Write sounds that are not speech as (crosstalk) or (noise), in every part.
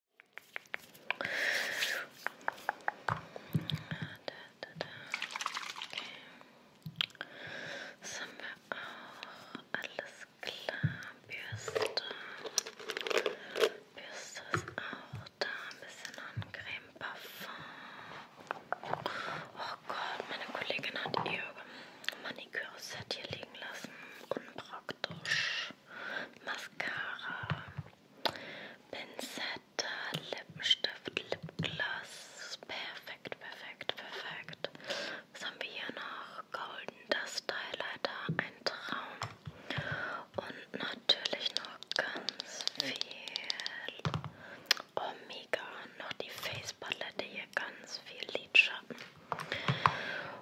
Okay. Das haben wir auch. Alles klar. Bürste. Bürste ist auch da. Ein bisschen an Creme Parfum. Oh Gott, meine Kollegin hat ihr Maniküre-Set hier liegen lassen. Unpraktisch. Mascara, Pinzette, Lippenstift, Lipgloss. Perfekt, perfekt, perfekt. Was haben wir hier noch? Golden Dust Highlighter, ein Traum. Und natürlich noch ganz viel Omega. Noch die Face-Palette hier, ganz viel Lidschatten.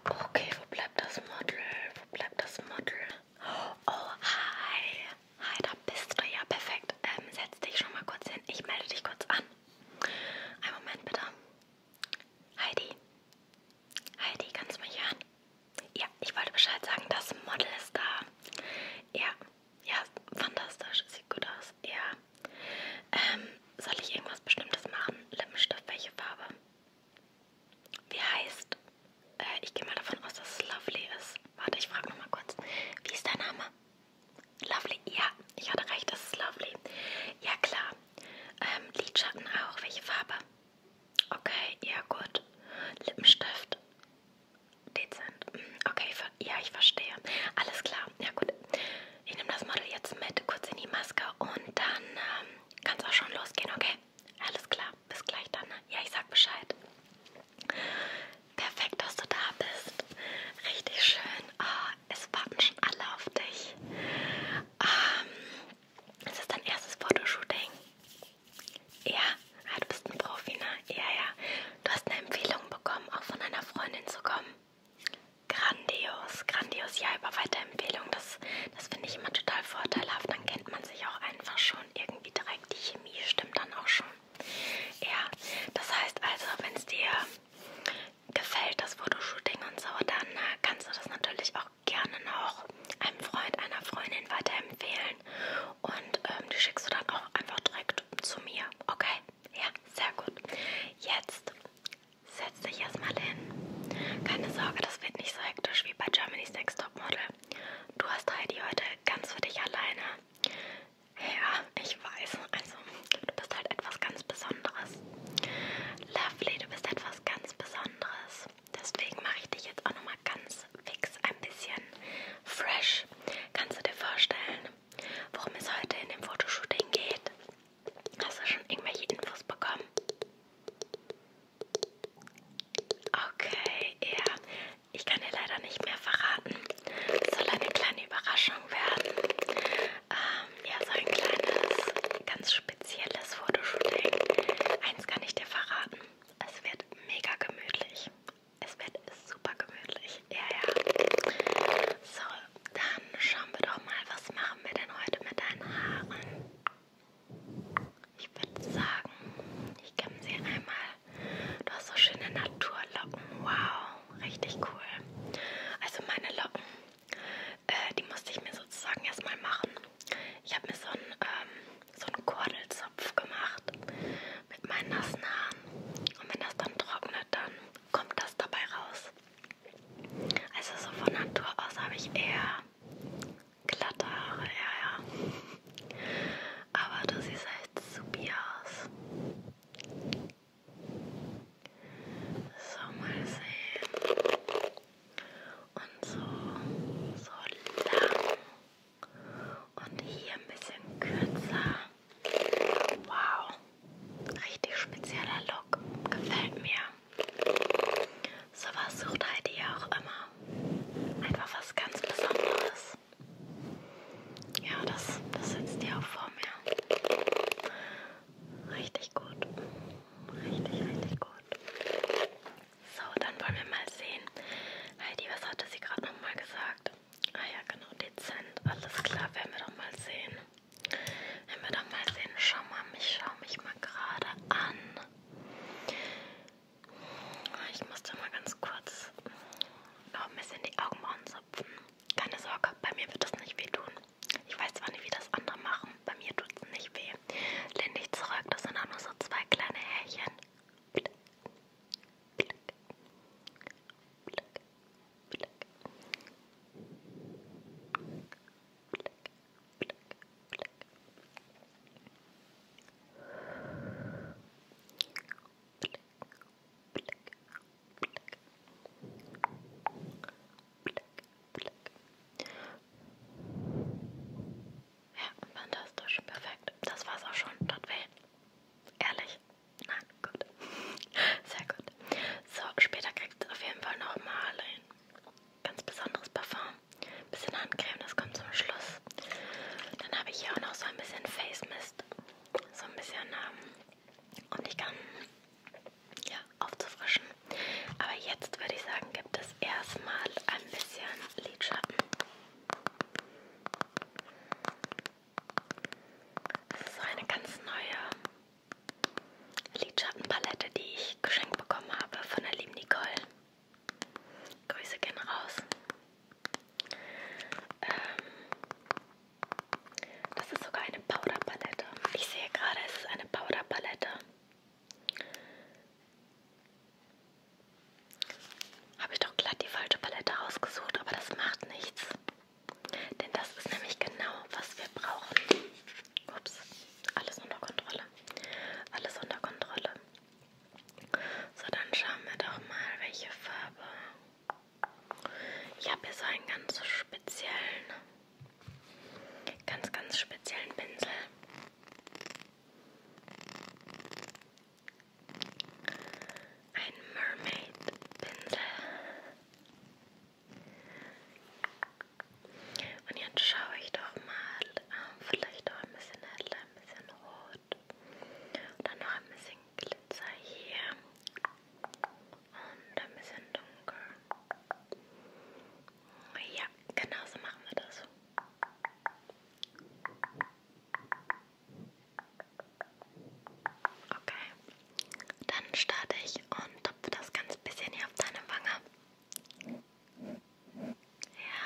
Okay, wo bleibt das Model? Wo bleibt das Model? Oh, hi. Hi, da bist du ja perfekt. Ähm, setz dich schon mal kurz hin. Ich melde dich kurz an. Einen Moment bitte. Heidi. Heidi, kannst du mich hören? Ja, ich wollte Bescheid sagen, das Model ist da. Ja, ja, fantastisch. Sieht gut aus. Ja. Ähm, soll ich irgendwas Bestimmtes machen? Lippenstift, welche Farbe? Wie heißt? Äh, ich gehe mal davon aus, dass es Lovely ist. Warte, ich frage nochmal kurz. Wie ist dein Name? Lovely. Ja, ich hatte recht, das ist Lovely. Ja, klar. Ähm, Lidschatten auch. Welche Farbe? Okay, ja, gut. Lippenstift. Dezent. Hm, okay, ja, ich verstehe. Alles klar. Ja, gut. Ich nehme das Model jetzt mit, kurz in die Maske und dann ähm, kann es auch schon losgehen, okay? Alles klar, bis gleich dann. Ne? Ja, ich sag Bescheid. Perfekt, dass du da bist. Richtig schön. Oh, es warten schon alle auf dich. Ähm, ist das dein erstes Fotoshooting? Ja, ah, du bist ein Profi, ne? Ja, ja. Du hast eine Empfehlung bekommen, auch von einer Freundin zu kommen. Grandios, grandios. Ja, über Weiterempfehlung. Das, das finde ich immer total vorteilhaft. Dann kennt man sich auch einfach schon irgendwie direkt. Die Chemie stimmt dann auch schon. Ja, das heißt also, wenn es dir gefällt, das Fotoshooting und so, dann äh, kannst du das natürlich auch gerne noch einem Freund, einer Freundin weiterempfehlen. Und ähm, die schickst du dann auch einfach direkt zu mir. Okay? Ja, sehr gut. Jetzt setz dich erstmal hin. Keine Sorge, das wird nicht so hektisch wie bei Germany's Next Top Topmodel. Du hast Heidi heute ganz für dich alleine. Ja, ich weiß. Also, du bist halt etwas ganz Besonderes. Lovely, du bist etwas ganz Besonderes. Deswegen mache ich dich jetzt auch nochmal ganz fix, ein bisschen fresh. Kannst du dir vorstellen, worum es heute in dem Fotoshooting geht? Hast du schon irgendwelche Infos bekommen? Okay, ja. Ich kann dir leider nicht mehr verraten. Es soll eine kleine Überraschung werden. Ähm, ja, so ein kleines, ganz spezielles Fotoshooting. Eins kann ich dir verraten. Es wird mega gemütlich. Es wird super gemütlich. Ja, ja. So, dann schauen wir doch mal, was machen wir denn heute mit deinen Haaren? Ich würde sagen, ich kann sie einmal. Du hast so schöne Naturlocken. Wow, richtig cool. Also meine Locken, äh, die musste ich mir sozusagen erstmal machen. Ich habe mir so einen, ähm, so einen Kordelzopf gemacht mit meinen nassen Haaren. Und wenn das dann trocknet, dann kommt das dabei raus. Also so von Natur aus habe ich eher glatte Haare, ja, ja. Aber du siehst halt supi aus. So, mal sehen. Und so, so lang. Und hier ein bisschen kürzer. Wow. Richtig spezieller Look. Gefällt mir. Sowas sucht Heidi ja auch immer. Einfach was ganz Besonderes. Ja, das, das sitzt ja auch vor mir. Richtig gut. Richtig, richtig gut. So, dann wollen wir mal sehen. Heidi, was hatte sie gerade nochmal gesagt? Ah ja, genau, dezent. Alles klar, werden wir doch mal sehen. Werden wir doch mal sehen. Schau mal, ich schaue mich mal gerade an. Ich musste mal ganz kurz noch ein bisschen die Augenbrauen zupfen. Keine Sorge, bei mir wird das nicht wehtun. Ich weiß zwar nicht, wie das andere machen, bei mir tut es nicht weh. Lehn dich zurück, das sind auch nur so zwei kleine Härchen. Blick, blick, blick, blick, blick, Black, black. Black, black, black. Black, black. Ja, fantastisch, perfekt. Das war's auch schon. Tut weh. Ehrlich? Nein, gut. (laughs) Sehr gut. So, später kriegst du auf jeden Fall nochmal ein ganz besonderes Parfum. Ein bisschen Handcreme, das kommt zum Schluss. Dann habe ich hier auch noch so ein bisschen Face Mist. So ein bisschen, ähm, um dich ganz ja, aufzufrischen. Aber jetzt würde ich sagen, gibt es erstmal ein bisschen Lidschatten. Das ist so eine ganz neue Lidschattenpalette, die ich geschenkt bekommen habe von der lieben Nicole. Grüße gehen raus. Ähm, das ist sogar eine Powderpalette. Ich sehe gerade, es ist eine Powderpalette. Habe ich doch glatt die falsche Palette rausgesucht, aber das macht nichts. Denn das ist nämlich genau, was wir brauchen. Ups, alles unter Kontrolle. Alles unter Kontrolle. So, dann schauen wir doch mal, welche Farbe. Ich habe hier so einen ganz speziellen, ganz, ganz speziellen Pinsel. Ein Mermaid Pinsel. Und jetzt schaue ich doch mal, ähm, vielleicht auch ein bisschen heller, ein bisschen rot. Und dann noch ein bisschen Glitzer hier. Und ein bisschen dunkel. Ja, genau so machen wir das. Okay, dann starte ich und tupfe das ganz bisschen hier auf deine Wange. Ja.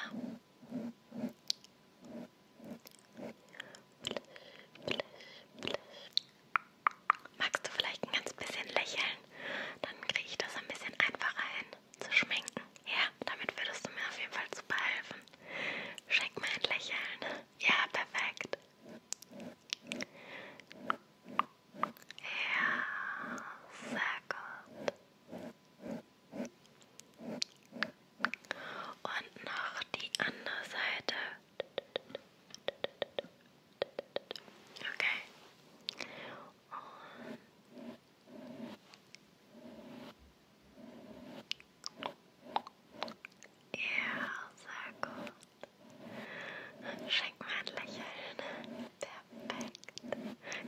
Magst du vielleicht ein ganz bisschen lächeln? Dann kriege ich das ein bisschen einfacher hin zu schminken. Ja, damit würdest du mir auf jeden Fall super helfen. Schenk mir ein Lächeln. Ja, perfekt. Ja, sehr gut. Und noch die andere Seite. Okay. Und ja, sehr gut. Schenk mir ein Lächeln. Perfekt.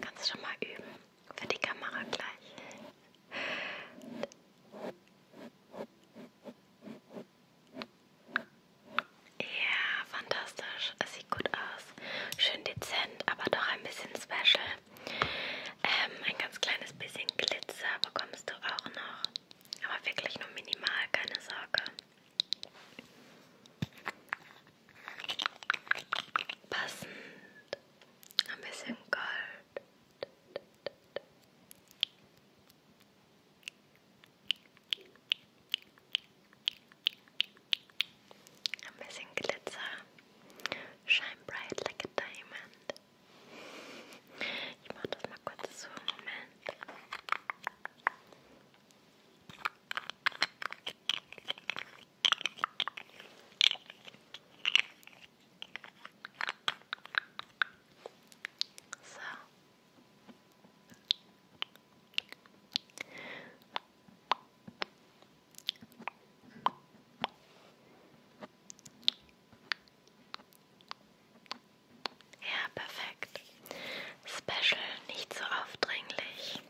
Kannst du schon mal üben? für die Kamera gleich. Ja, fantastisch. Es sieht gut aus. Schön dezent, aber doch ein bisschen special. Ähm, ein ganz kleines bisschen Glitzer bekommst du auch noch. Aber wirklich nur minimal, keine Sorge. Passend. Ein bisschen Gold. Ein bisschen glitter, Shine bright like a diamond. Ich mach das mal kurz so. Moment. So. Ja, perfekt. Special, nicht so aufdringlich.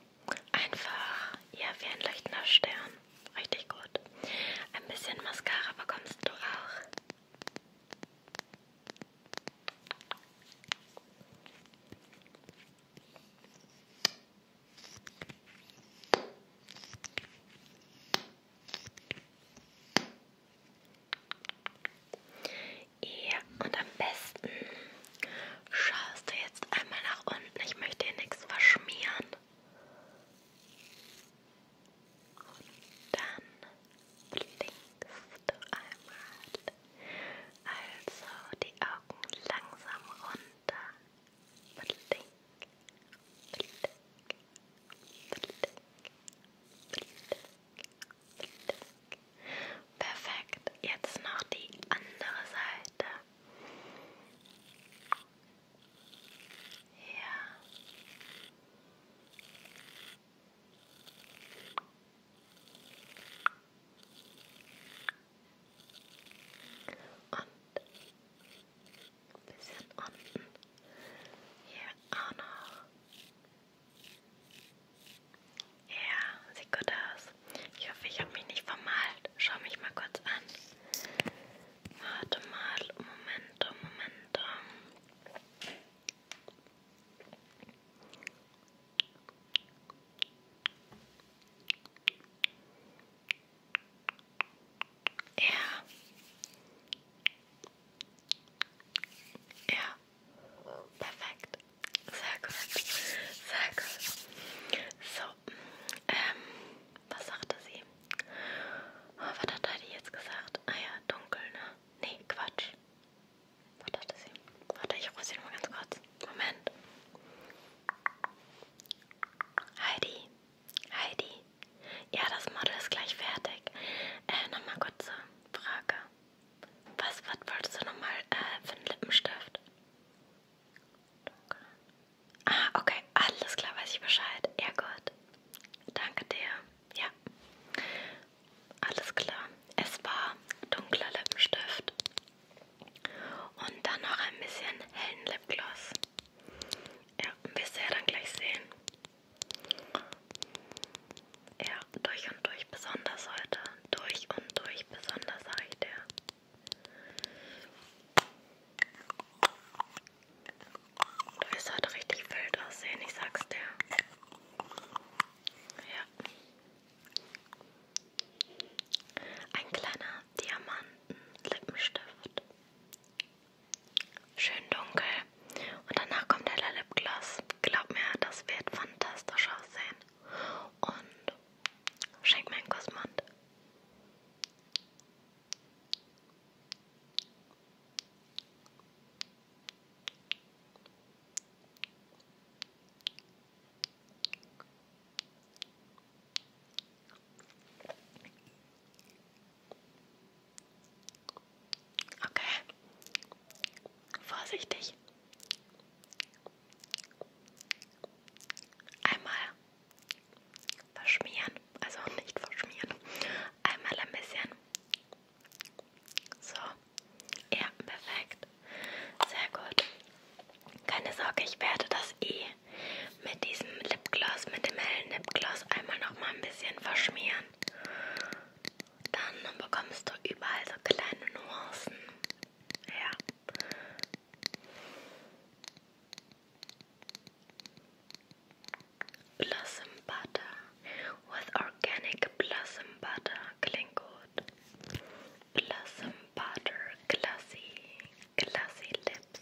Einfach, ja, wie ein leuchtender Stern. Richtig gut. Ein bisschen Mascara bekommst du auch. Ja, und am besten Schaust du jetzt einmal nach unten? Ich möchte hier nichts verschmieren. Und dann blinkst du einmal. Also die Augen langsam runter. Blink, blink, blink, blink, blink, blink. Perfekt. Jetzt noch die andere Seite. Yeah. Und ein bisschen unten. Hier auch noch. Ja, sieht gut aus. Ich hoffe, ich habe mich nicht vermalt. Schau mich mal kurz an. Warte mal, Moment, Moment. Ja. Ja. Perfekt. Sehr gut. Sehr gut. So, ähm, was sagte sie? Oh, was hat Heidi jetzt gesagt? Ah ja, dunkel, ne? Nee, Quatsch. Was dachte sie? Warte, ich rufe sie nochmal ganz kurz. Moment. Heidi, Heidi. Ja, das Model ist gleich fertig. Äh, nochmal kurze Frage. Was, was wolltest du nochmal äh, für einen Lippenstift? Ah, okay. Alles klar, weiß ich Bescheid. Ja, gut. Danke dir. Ja. Alles klar. Es war dunkler Lippenstift. Und dann noch ein bisschen hellen Lipgloss. Ja, wirst du ja dann gleich sehen. Ja, durch und durch besonders heute. Durch und durch besonders, sag ich dir. Das hat richtig wild aussehen, ich sag's dir. Ja. Ein kleiner Diamanten-Lippenstift. Schön dunkel. Und danach kommt der Lipgloss. Glaub mir, das wird fantastisch aussehen. Und schenk mir einen Kussmund. Okay. Vorsichtig einmal verschmieren, also nicht verschmieren, einmal ein bisschen. So, ja, perfekt. Sehr gut. Keine Sorge, ich werde das eh mit diesem Lipgloss, mit dem hellen Lipgloss einmal noch mal ein bisschen verschmieren. Dann bekommst du überall so kleine Nuancen. Ja. Blossom butter with organic blossom butter Klingkot. Blossom butter glassy, glassy lips,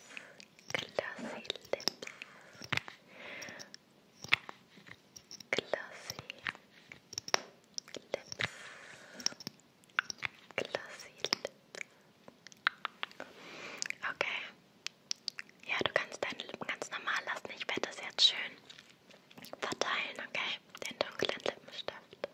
glassy lips, glassy lips. Glossy Lips. Okay. Ja, du kannst deine Lippen ganz normal lassen. Ich werde das jetzt schön verteilen, okay? Den dunklen Lippenstift. Okay.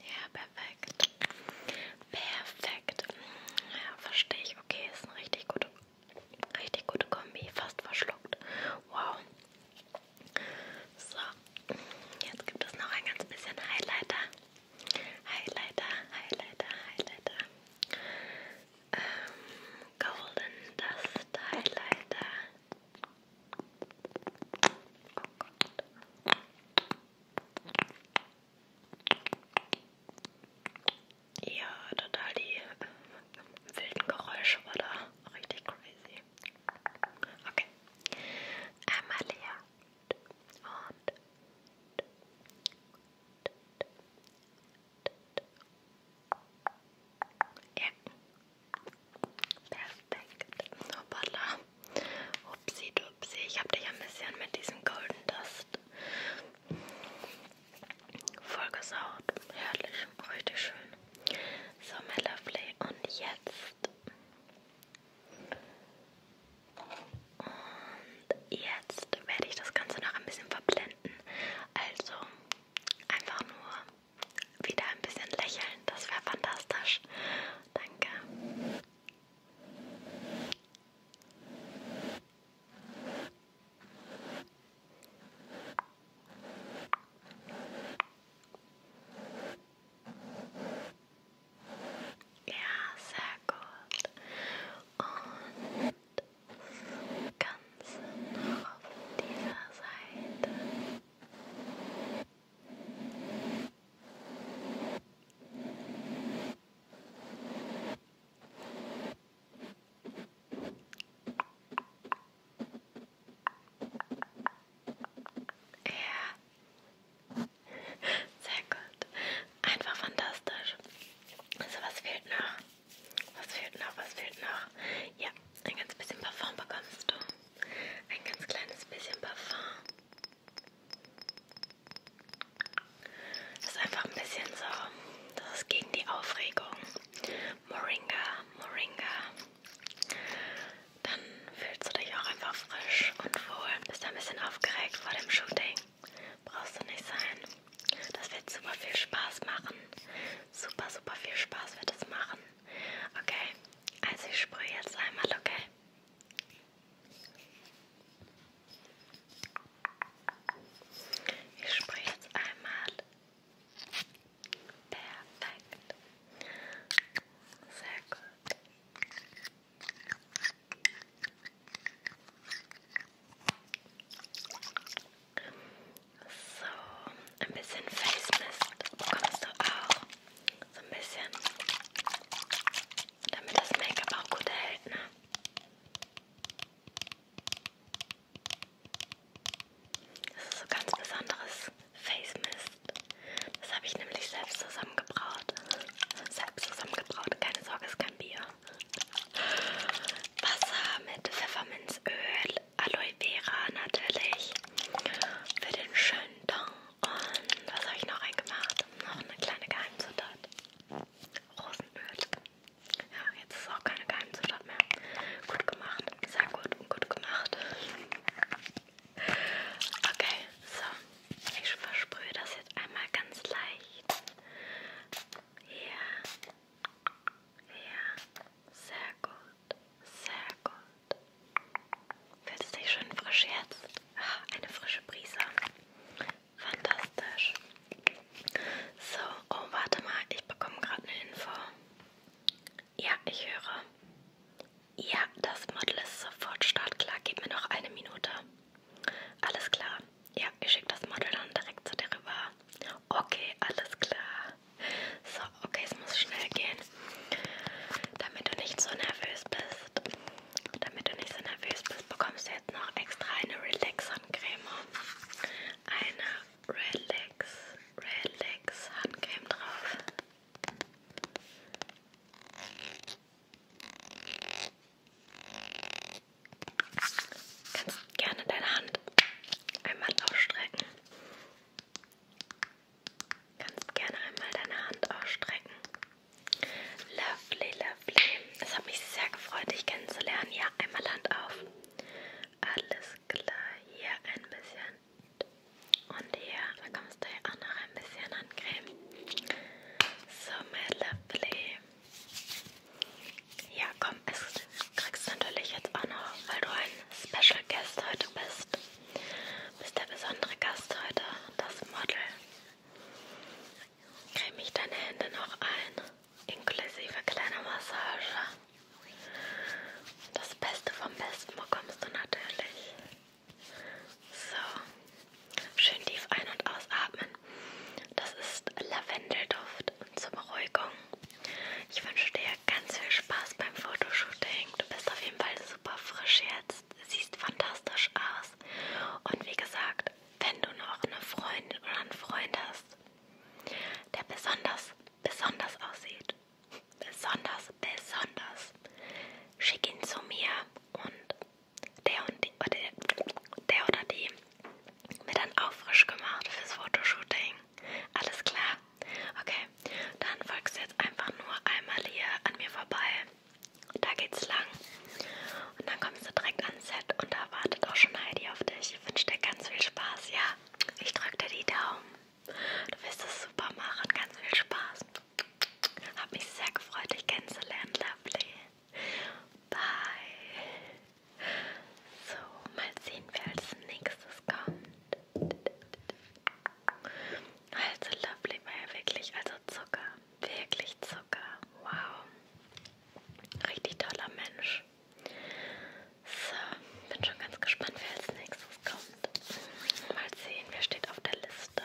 Ja, perfekt. Perfekt. Ja, verstehe ich. Okay, ist eine richtig gute, richtig gute Kombi. Fast verschluckt. Wow. So, jetzt gibt es noch ein ganz bisschen Highlighter. highlighter, highlighter, highlighter. Um, golden dust highlighter. Oh God. Ja, total die ähm, wilden Geräusche war da richtig crazy. Okay. Einmal und ja. Perfekt. Hoppala. Upsi dupsi. Ich habe dich ein bisschen mit diesem Golden Dust vollgesaut. Herrlich. Richtig schön. So, my lovely. Und jetzt und jetzt werde ich das Ganze noch ein bisschen verblenden. Also einfach nur wieder ein bisschen lächeln. Das wäre fantastisch. Danke. Perfekt. Ja, sehr gut. Und ganz noch auf dieser Seite. Ja. (laughs) Sehr gut. Einfach fantastisch. Also was fehlt noch? Was fehlt noch? Was fehlt noch? Ja, ein ganz bisschen Parfum bekommst du. Ein ganz kleines bisschen Parfum. Das ist einfach ein bisschen so. Das ist gegen die Aufregung. Moringa, Moringa. Dann fühlst du dich auch einfach frisch und wohl. Bist ein bisschen aufgeregt vor dem Shooting. Brauchst du nicht sein. Das wird super viel Spaß machen. Super, super viel Spaß wird es machen. Okay, also ich sprühe jetzt einmal, okay? Ich sprühe jetzt einmal. Perfekt. Sehr gut. So, ein bisschen Face Mist bekommst du auch. So ein bisschen. Damit das Make-up auch gut hält, ne? Das ist so ganz besonderes Face Mist. Das habe ich nämlich selbst zusammengebraut. Selbst zusammengebraut, keine Sorge, es Gambia. Wasser mit Pfefferminzöl, Aloe Vera natürlich für den schönen Ton. Und was habe ich noch reingemacht? Noch eine kleine Geheimzutat. Rosenöl. Ja, jetzt ist auch keine Geheimzutat mehr. Gut gemacht. Sehr gut und gut gemacht. Okay, so. Ich versprühe das jetzt einmal ganz leicht. Ja. Ja. Sehr gut. Sehr gut. Fühlt es dich schön frisch jetzt? Oh, eine frische Brise. Fantastisch. So, oh, warte mal, ich bekomme gerade eine Info. Ja, ich höre. Ja, das Model ist sofort startklar. Gib mir noch eine Minute. Alles klar ja, ich schicke das Model dann direkt zu dir rüber. Okay, alles klar. So, okay, es muss schnell gehen, damit du nicht so nervös bist. Damit du nicht so nervös bist, bekommst du jetzt noch extra eine Relax-Handcreme. Eine Relax, Relax-Handcreme drauf. Kannst gerne deine Hand einmal ausstrecken. Kannst gerne einmal deine Hand ausstrecken. Lovely, lovely. Es hat mich sehr gefreut, dich kennenzulernen. Ja, einmal Hand auf. Alles klar. Hier ein bisschen. Und hier. Da kommst du ja auch noch ein bisschen an Creme. So, my lovely. Ja, komm, es kriegst du natürlich jetzt auch noch, weil du ein Special Guest heute bist. Du bist der besondere Gast heute, das Model. Creme ich deine Hände noch ein, inklusive kleiner Massage. Das Beste vom Besten bekommst du natürlich. So, Schön tief ein- und ausatmen. Das ist Lavendelduft zur Beruhigung. Ich wünsche dir ganz viel Spaß beim Fotoshooting. Du bist auf jeden Fall super frisch jetzt. Siehst fantastisch aus. Und wie gesagt, wenn du noch eine Freundin oder einen Freund hast, der besonders, besonders aussieht, besonders, besonders, schick ihn zu mir und der und die, oder der oder die mir dann auch frisch gemacht fürs Fotoshooting. Alles klar? Okay, dann folgst du jetzt einfach nur einmal hier an mir vorbei. Da geht's lang. Und dann kommst du direkt ans Set und da wartet auch schon Heidi auf dich. Ich wünsche dir ganz viel Spaß, ja? Ich drücke dir die Daumen. Du wirst es super machen. Ganz viel Spaß. Hab mich sehr gefreut, dich kennenzulernen, Lovely. Bye. So, mal sehen, wer als nächstes kommt. Also Lovely war ja wirklich, also Zucker, wirklich Zucker. Wow. Richtig toller Mensch. So, bin schon ganz gespannt, wer als nächstes kommt. Mal sehen, wer steht auf der Liste.